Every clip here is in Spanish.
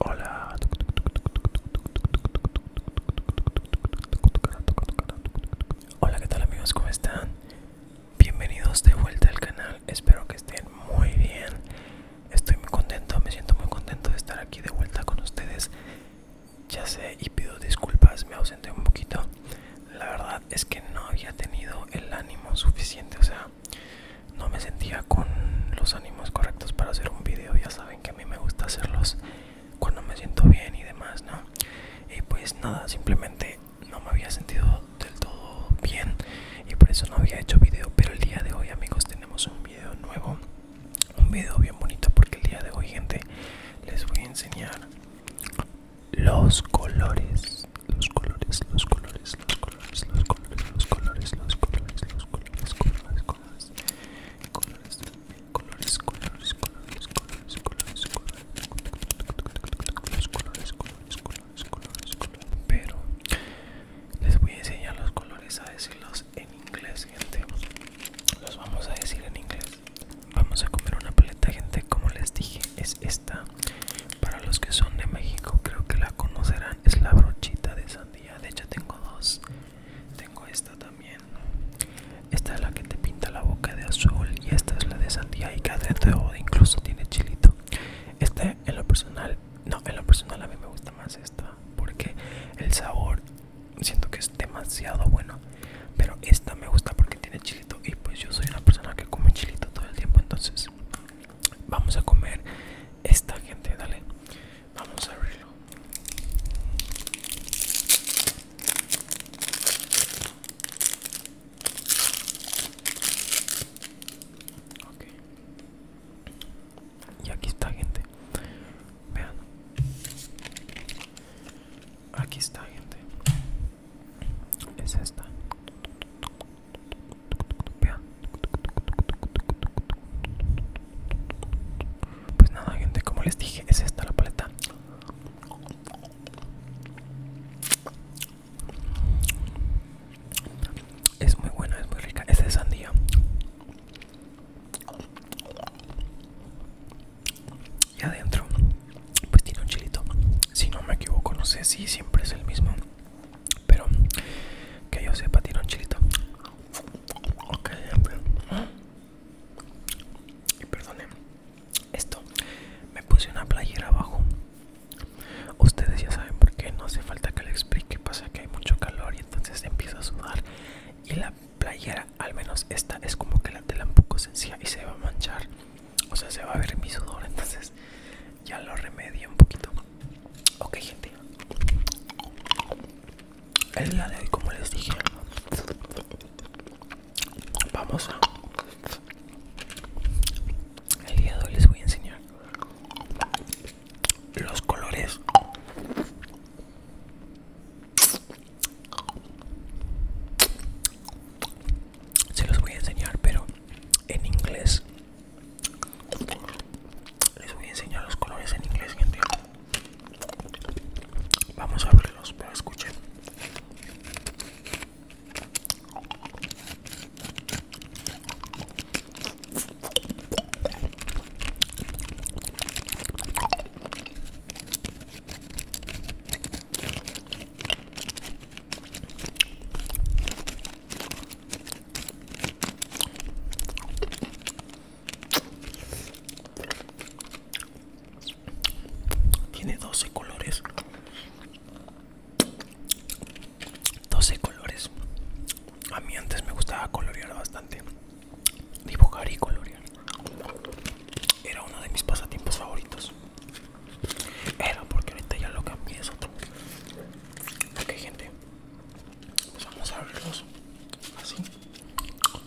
Hola. Hola, ¿qué tal amigos? ¿Cómo están? Bienvenidos de vuelta al canal. Espero que estén muy bien. Estoy muy contento, me siento muy contento de estar aquí de vuelta con ustedes. Ya sé y pido disculpas, me ausenté un poquito. La verdad es que no había tenido el ánimo suficiente, o sea, no me sentía con los ánimos correctos para hacer un video. Ya saben que a mí me gusta hacerlos cuando me siento bien y demás, ¿no? Y pues nada, simplemente no me había sentido del todo bien y por eso no había hecho video, pero el día de hoy amigos tenemos un video nuevo, un video bien bonito porque el día de hoy gente les voy a enseñar los colores, los colores, los colores, los colores, los colores, los colores, los colores, los colores, colores, colores, colores, colores, colores, colores, colores, colores, colores, colores, colores, Pero les voy a enseñar los colores a decirlos en inglés, gente. Los vamos a decir en inglés. Vamos a comer una paleta, gente. Como les dije, es esta. Para los que son de México, creo que la conocerán. Es la brochita de sandía. De hecho, tengo dos. Tengo esta también. Esta es la que te pinta la boca de azul y esta es la de sandía y cada incluso tiene chilito. Este en lo personal, no, en lo personal a mí me gusta más esta porque el sabor siento que es demasiado bueno. Pero esta me gusta porque tiene chilito y pues yo soy una persona que come chilito todo el tiempo entonces vamos a comer esta gente, dale. Vamos a abrirlo. Okay. Y aquí está gente. Vean. Aquí está gente. Es esta. Vean. Pues nada gente, como les dije, es esta la paleta Es muy buena, es muy rica, es de sandía Y adentro, pues tiene un chilito Si no me equivoco, no sé si siempre es el mismo Pero que yo sepa, tiene un chilito Ok, y perdonen esto. Me puse una playera abajo. Ustedes ya saben por qué. No hace falta que le explique. Pasa que hay mucho calor y entonces empieza a sudar. Y la playera, al menos esta, es como que la tela un poco sencilla y se va a manchar. O sea, se va a ver mi sudor. Entonces ya lo remedio un poquito. Ok, gente el día de hoy como les dije vamos a el día de hoy les voy a enseñar los colores se los voy a enseñar pero en inglés les voy a enseñar los colores en inglés gente Vamos a abrirlos, pero escuchen. Tiene 12 colores. 12 colores. A mí antes me gustaba colorear bastante. Dibujar y colorear. Era uno de mis pasatiempos favoritos. Era porque ahorita ya lo cambié, es otro. Ok gente. vamos a abrirlos. Así.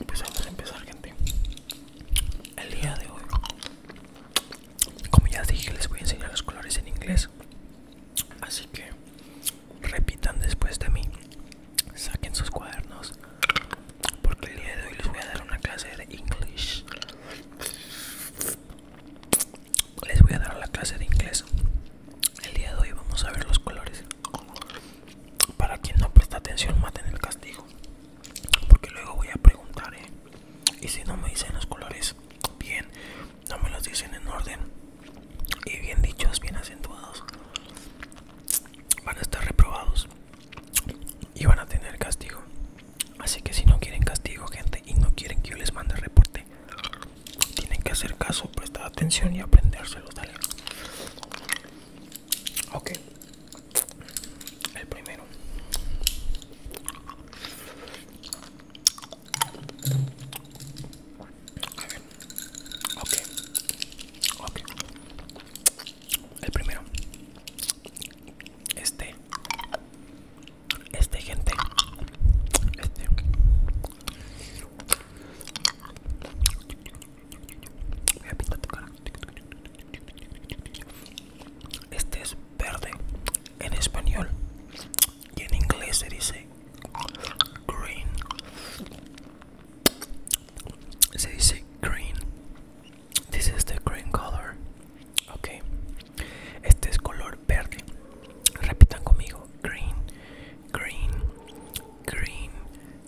Empezamos a empezar, gente. El día de hoy, como ya dije, les voy a enseñar los colores en inglés. Así que repitan después de mí. Saquen sus cuadernos. Porque el día de hoy les voy a dar una clase de English. Les voy a dar la clase de inglés. El día de hoy vamos a ver los colores. Para quien no presta atención, maten el castigo. Porque luego voy a preguntar, ¿eh? Y si no me dicen los colores bien, no me los dicen en orden y bien dichos, bien acentuados, van a estar reprobados y van a tener castigo. Así que si no quieren castigo, gente, y no quieren que yo les mande reporte, tienen que hacer caso, prestar atención y aprendérselo, Ok. El primero. El primero. Este. Este, gente. Este. Este es verde en español y en inglés se dice green. Se dice green. This is the green color. Ok. Este es color verde. Repitan conmigo. Green, green, green,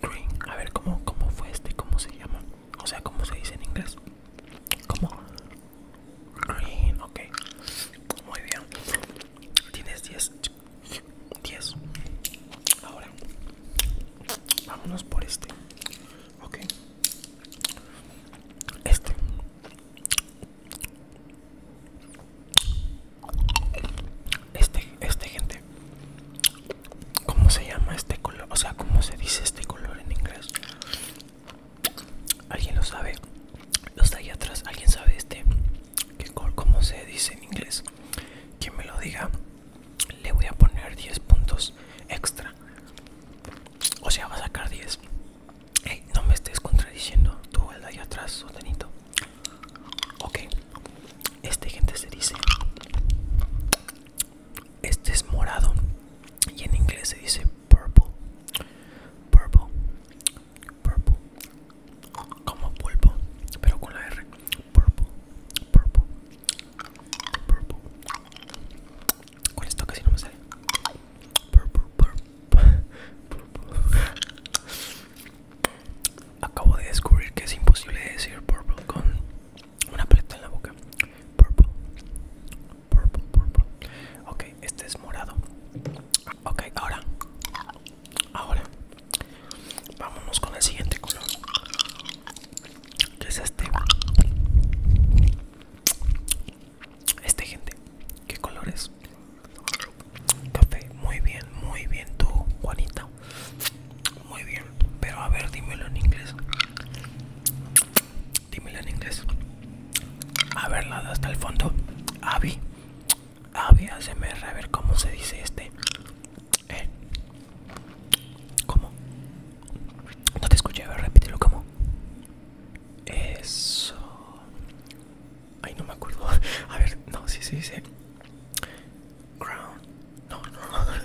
Green. A ver, ¿cómo, ¿cómo fue este? ¿Cómo se llama? O sea, ¿cómo se dice en inglés? ¿Cómo? Green, ok. Muy bien. Tienes 10. 10. Ahora, vámonos por este. Ok. Este. Este, este gente ¿Cómo se llama este color? O sea, ¿cómo se dice este color en inglés? ¿Alguien lo sabe? Los de ahí atrás, ¿alguien sabe este? ¿Qué color? ¿Cómo se dice en inglés? que me lo diga, le voy a poner 10 puntos extra. O sea, va a sacar 10. no me estés contradiciendo tú, el de atrás, sotanito. Ok, este gente se dice este es morado y en inglés se dice purple. Purple. Purple. Como pulpo, pero con la R. Purple. Purple. Purple. Con esto casi no me sale. Purple, purple, purple. Acabo de descubrir que es imposible decir purple con una paleta en la boca. Purple. Purple, purple. Ok, este es morado. Ok, ahora. Ahora. Vámonos con el siguiente color. Que es este. Este, gente. ¿Qué color es? Café. Muy bien, muy bien. Tú, Juanita. Muy bien, pero a ver, dímelo en inglés. Dímelo en inglés. A ver, la hasta el fondo. Avi. Avi, ASMR, a ver cómo se dice este. ¿Eh? ¿Cómo? No te escuché, a ver, repítelo, ¿cómo? Eso. Ay, no me acuerdo. A ver, no, sí, sí, sí. Crown. No, no, no.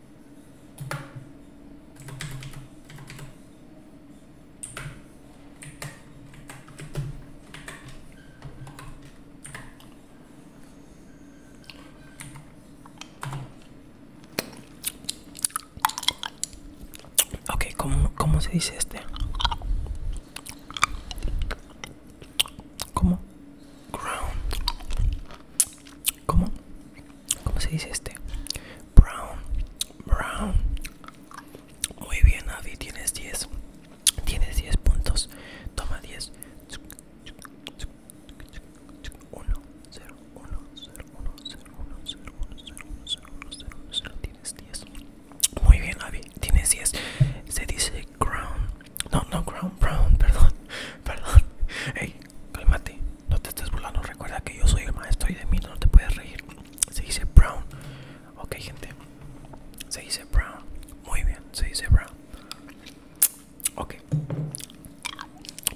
Ok, ¿cómo, cómo se dice este? ¿Cómo? Ground ¿Cómo? ¿Cómo se dice este? Brown, brown. Muy bien, Avi, tienes 10. Tienes 10 puntos. Toma 10. 1, 0, 1, 0, 1, 0, 1, 0, 1, 0, 1, 0, 1, 0, 1, 0. Tienes 10. Muy bien, Avi, tienes 10. Se dice crown, no, no, brown, Brown, perdón, perdón. Ey, cálmate, no te estés burlando. Recuerda que yo soy el maestro y de mí no te puedes reír. Se dice Brown. Ok, gente, se dice Brown. Muy bien, se dice Brown. Ok,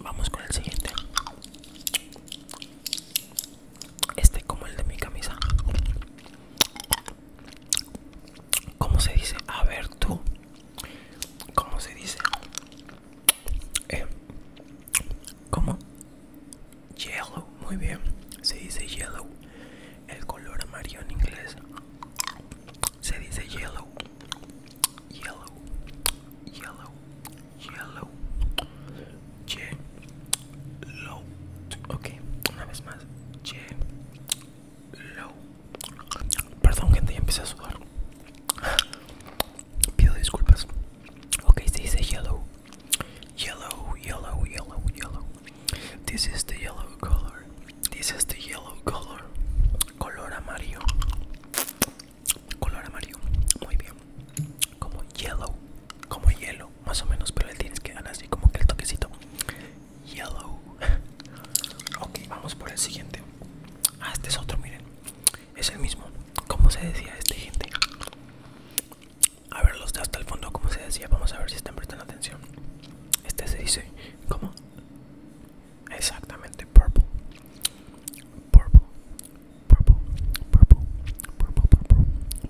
vamos con el siguiente. Este como el de mi camisa. ¿Cómo se dice? A ver tú. ¿Cómo se dice? Eh, ¿Cómo? Yellow, muy bien. Se dice yellow. El color amarillo en inglés. Se dice yellow. Yellow. Yellow. Yellow. Yellow. Ok, una vez más. Yellow. Perdón, gente, ya empecé a sudar. Pido disculpas. Ok, se dice yellow. Yellow, yellow, yellow, yellow. This is the yellow color. This is the yellow color. Color amarillo. Color amarillo. Muy bien. Como yellow. Como yellow, más o menos, pero el tienes que dar así como que el toquecito. Yellow. Ok, vamos por el siguiente. Ah, este es otro, miren. Es el mismo. ¿Cómo se decía este, gente? A ver, los de hasta el fondo, ¿cómo se decía? Vamos a ver si están prestando atención. Este se dice, ¿cómo? Exactamente, purple. Purple, purple, purple, purple, purple, purple,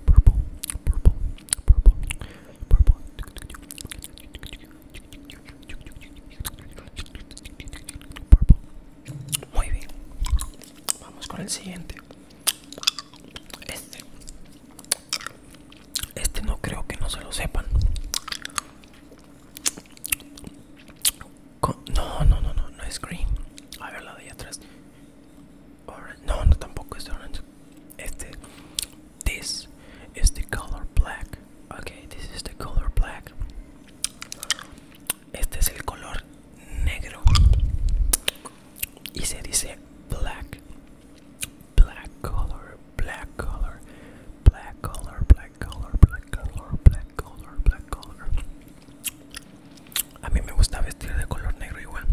purple, purple, purple, purple, muy bien. Vamos con el siguiente. Este. Este no creo que no se lo sepan. No, no, no, no, no es green. A ver la de ahí atrás. No, no tampoco es orange. Este. This is the color black. Okay, this is the color black. Este es el color negro y se dice black, black color, black color, black color, black color, black color, black color, black A mí me gusta vestir de color negro igual.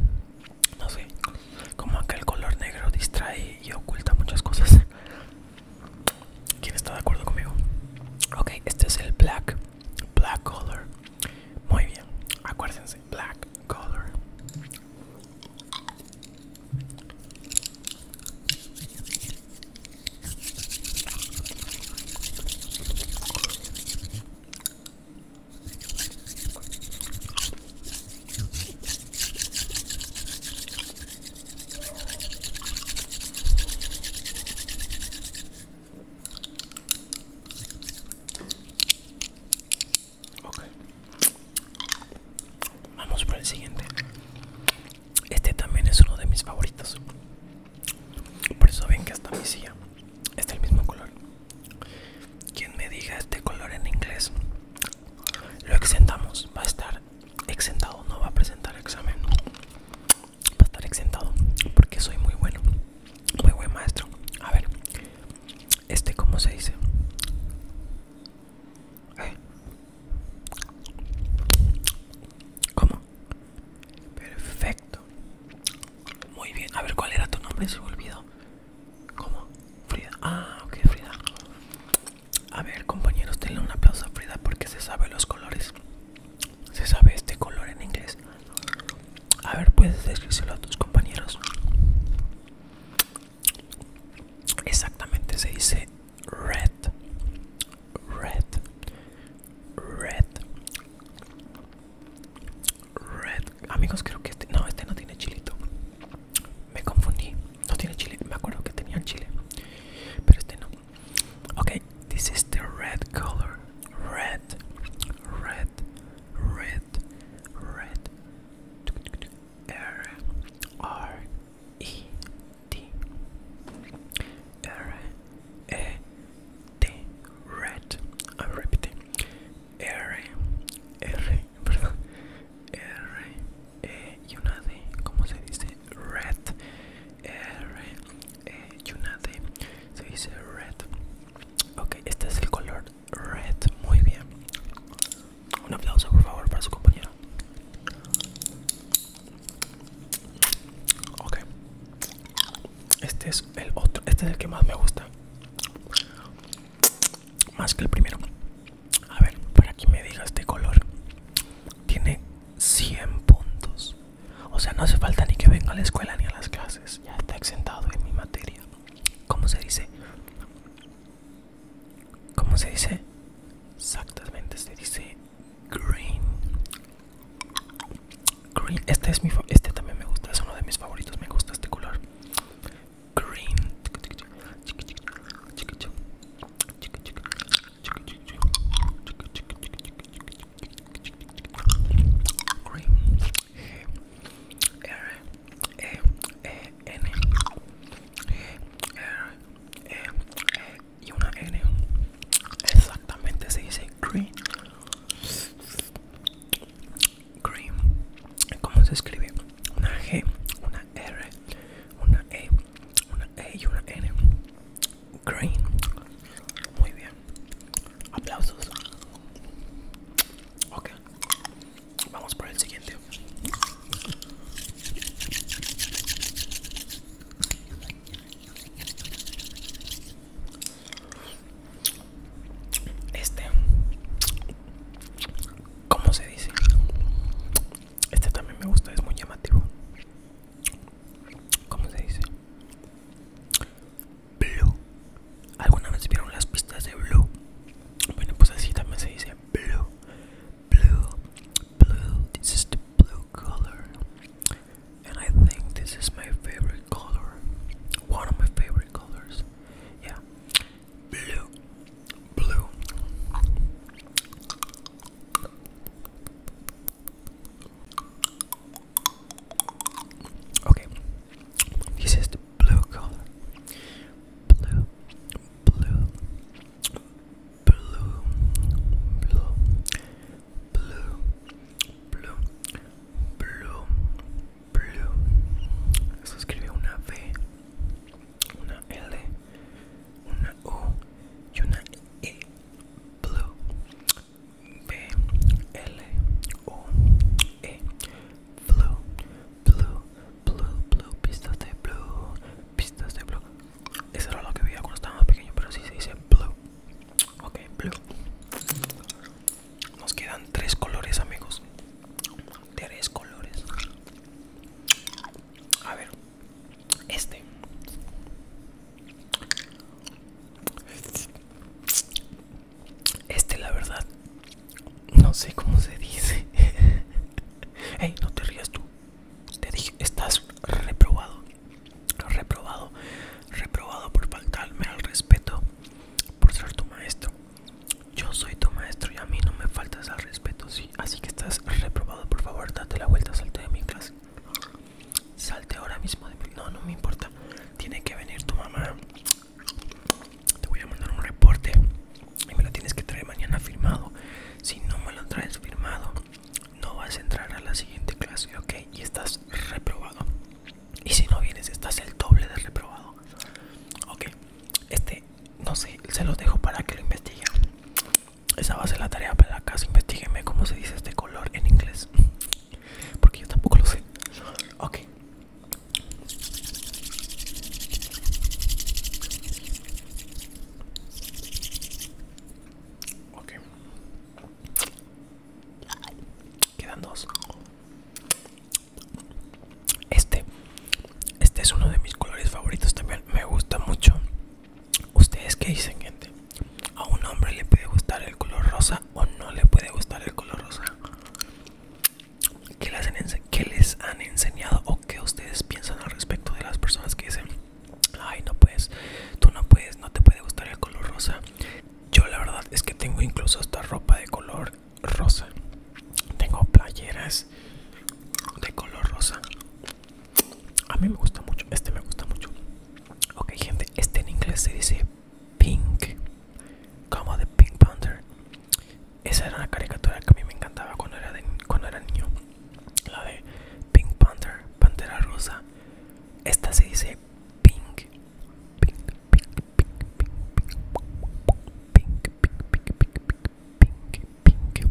No sé, como acá el color negro distrae y oculta muchas cosas. ¿Quién está de acuerdo conmigo? Ok, este es el black, black color. Muy bien, acuérdense, black color. Ok. Vamos por el siguiente. Este también es uno de mis favoritos. Por eso ven que hasta mi silla es el mismo color. Quien me diga este color en inglés, lo exentamos. Va a estar exentado, no va a presentar examen. Va a estar exentado porque soy muy bueno, muy buen maestro. A ver, este, ¿cómo se dice? como eh. ¿Cómo? Perfecto. Muy bien. A ver, ¿cuál era tu nombre? Se me olvidó. ¿Cómo? Frida. Ah, ok, Frida. A ver compañeros, denle un aplauso a Frida porque se sabe los colores. Se sabe este color en inglés. A ver, puedes describirlo a tus compañeros. Exactamente, se dice red. Red. Red. Red. Amigos, creo que este... No, este no tiene chilito. Me confundí. No tiene chile. Me acuerdo que tenía chile. Pero este no. Okay, this is the red color. Red, red, red, red. R R E D R E D red. I'm repeating. R R R Eh, y una de ¿cómo se dice? Red, R, eh, y una se dice red. Ok, este es el color red, muy bien. Un aplauso por favor para su compañero. Ok, este es el otro, este es el que más me gusta. Más que el primero. A ver, para que me digas este color tiene 100 puntos. O sea, no hace falta ni que venga a la escuela ni a las clases. Ya está exentado en mi materia. ¿Cómo se dice? ¿Cómo se dice? Exactamente se dice green. Green. Este es mi este también me gusta, es uno de mis favoritos, me gusta este color. Green. Green G R E N E y una N exactamente se dice green green ¿Cómo se escribe? Una G, una R, una E, una E y una N Green Muy bien. Aplausos. Ok. Vamos por el siguiente. Este, ¿cómo se dice? Este también me gusta, es muy llamativo. Blue. ¿Alguna vez vieron las pistas de Blue? Bueno, pues así también se dice Blue. Blue. Blue. This is the blue color. And I think this is my favorite color. One of my favorite colors. Yeah. Blue. Blue. Okay, this is the blue color. Blue, blue, blue, blue, blue, blue, blue, blue. Se escribe una V, una L, una O y una E. blue b l o e blue blue blue blue pistas de blue pistas de blue eso era lo que veía cuando estaba más pequeño pero si sí se dice blue ok blue nos quedan tres colores amigos tres colores a ver este. Este, la verdad, no sé cómo se dice. Ey, no te rías tú. Te dije, estás reprobado. Reprobado. Reprobado por faltarme al respeto. Por ser tu maestro. Yo soy tu maestro y a mí no me faltas al respeto, sí. Así que estás reprobado, por favor, date la vuelta, salte de mi clase. Salte ahora mismo de No, no me importa. Tiene que venir tu mamá. Te voy a mandar un reporte y me lo tienes que traer mañana firmado. Si no me lo traes firmado, no vas a entrar a la siguiente clase, ¿ok? Y estás reprobado. Y si no vienes, estás el doble de reprobado. Ok, este, no sé, se los dejo para que lo investiguen. Esa va a ser la tarea para la casa. investiguenme cómo se dice este color en inglés. Porque yo tampoco lo sé. Ok. Ok. Quedan dos. Este. Este es uno de mis colores favoritos también. Me gusta mucho. ¿Ustedes qué dicen, gente? ¿A un hombre le puede gustar el color rosa o no le puede gustar el color rosa? ¿Qué les han, enseñado o qué ustedes piensan al respecto de las personas que dicen, ay, no puedes, tú no puedes, no te puede gustar el color rosa? Yo la verdad es que tengo incluso esta ropa de color rosa. Tengo playeras de color rosa. A mí me gusta mucho, este me gusta mucho. Ok, gente, este en inglés se dice Pink, como de Pink Panther. Esa era una caricatura que a mí me encantaba cuando era, cuando era niño. La de Pink Panther, Pantera Rosa. Esta se dice pink, pink, pink, pink, pink, pink, pink, pink, pink, pink.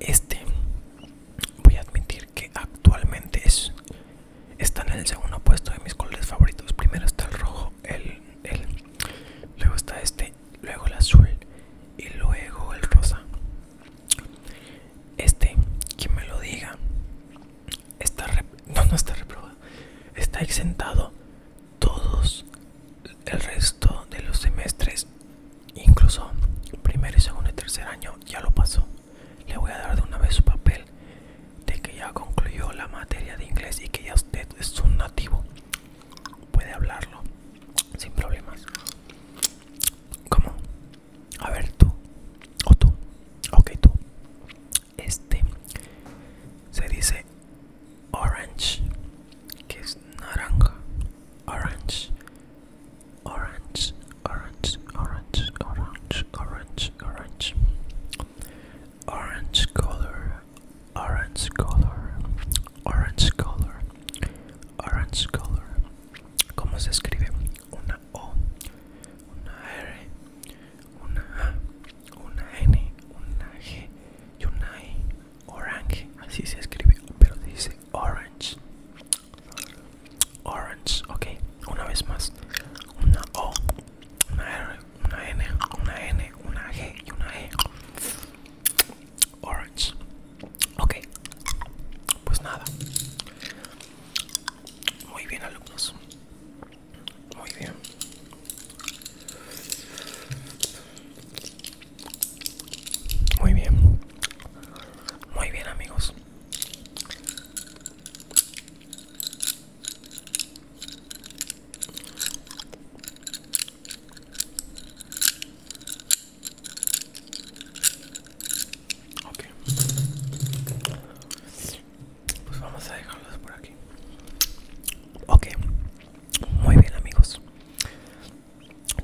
este, voy a admitir que actualmente es, está en el segundo puesto de mis colores favoritos. Primero está el rojo, el, luego está este, luego el azul y luego el rosa. Este, quien me lo diga, está está reprobado, está exentado todos el resto de los semestres incluso primero y segundo y tercer año ya lo pasó. Le voy a dar de una vez su papel de que ya concluyó la materia de inglés y que ya usted es un nativo. Puede hablarlo sin problemas. ¿Cómo? A ver, tú. O tú. Ok, tú. Este se dice orange, que es naranja. Orange. orange, orange, orange, orange, orange, orange, orange color, orange color, orange color, orange color. ¿Cómo se escribe? Una O, una R, una A, una N, una G y una I. Orange, así se escribe, pero dice orange. Orange, ok, una vez más. Una O, una R, una N, una N, una G y una E. Orange. Ok, pues nada. Muy bien alumnos. Muy bien. Muy bien. Muy bien, amigos. Ok. Pues vamos a dejarlos por aquí. Okay, Muy bien, amigos.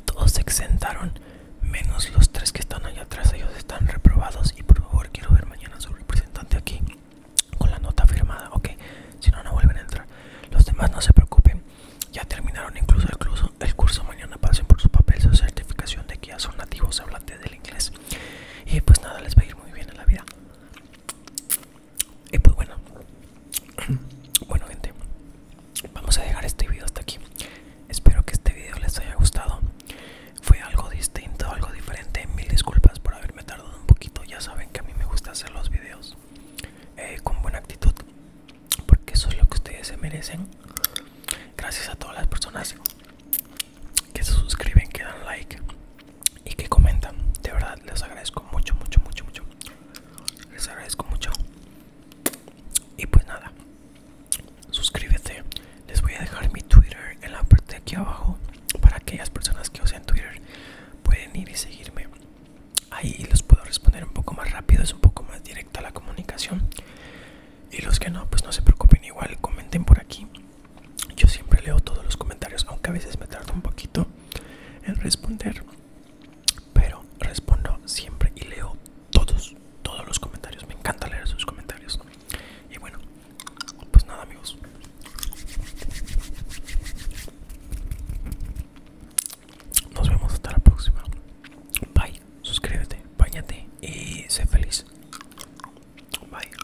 Todos se exentaron, menos los tres que están allá atrás. Ellos están reprobados y por favor quiero ver mañana su representante aquí con la nota firmada, ¿ok? Si no, no vuelven a entrar. Los demás no se preocupen, ya terminaron incluso el curso. El curso mañana pasen por su papel, su certificación de que ya son nativos hablantes del inglés. Y pues nada, les va a ir muy bien en la vida. Y pues bueno, bueno gente, vamos a dejar este video hasta aquí espero que este video les haya gustado fue algo distinto algo diferente mil disculpas por haberme tardado un poquito ya saben que a mí me gusta hacer los videos eh, con buena actitud porque eso es lo que ustedes se merecen gracias a todas las personas que se suscriben que dan like y que comentan de verdad les agradezco mucho mucho mucho mucho les agradezco mucho y pues nada, suscríbete. Les voy a dejar mi Twitter en la parte de aquí abajo para aquellas personas que usen Twitter pueden ir y seguirme. Ahí los puedo responder un poco más rápido, es un poco más directa la comunicación. Y los que no, pues no se preocupen, igual comenten por aquí. Yo siempre leo todos los comentarios, aunque a veces me tarda un poquito en responder pero respondo siempre y leo todos, todos los comentarios. Me encanta leer sus comentarios. Y bueno, pues nada amigos. Nos vemos hasta la próxima. Bye. Suscríbete, bañate y sé feliz. Bye.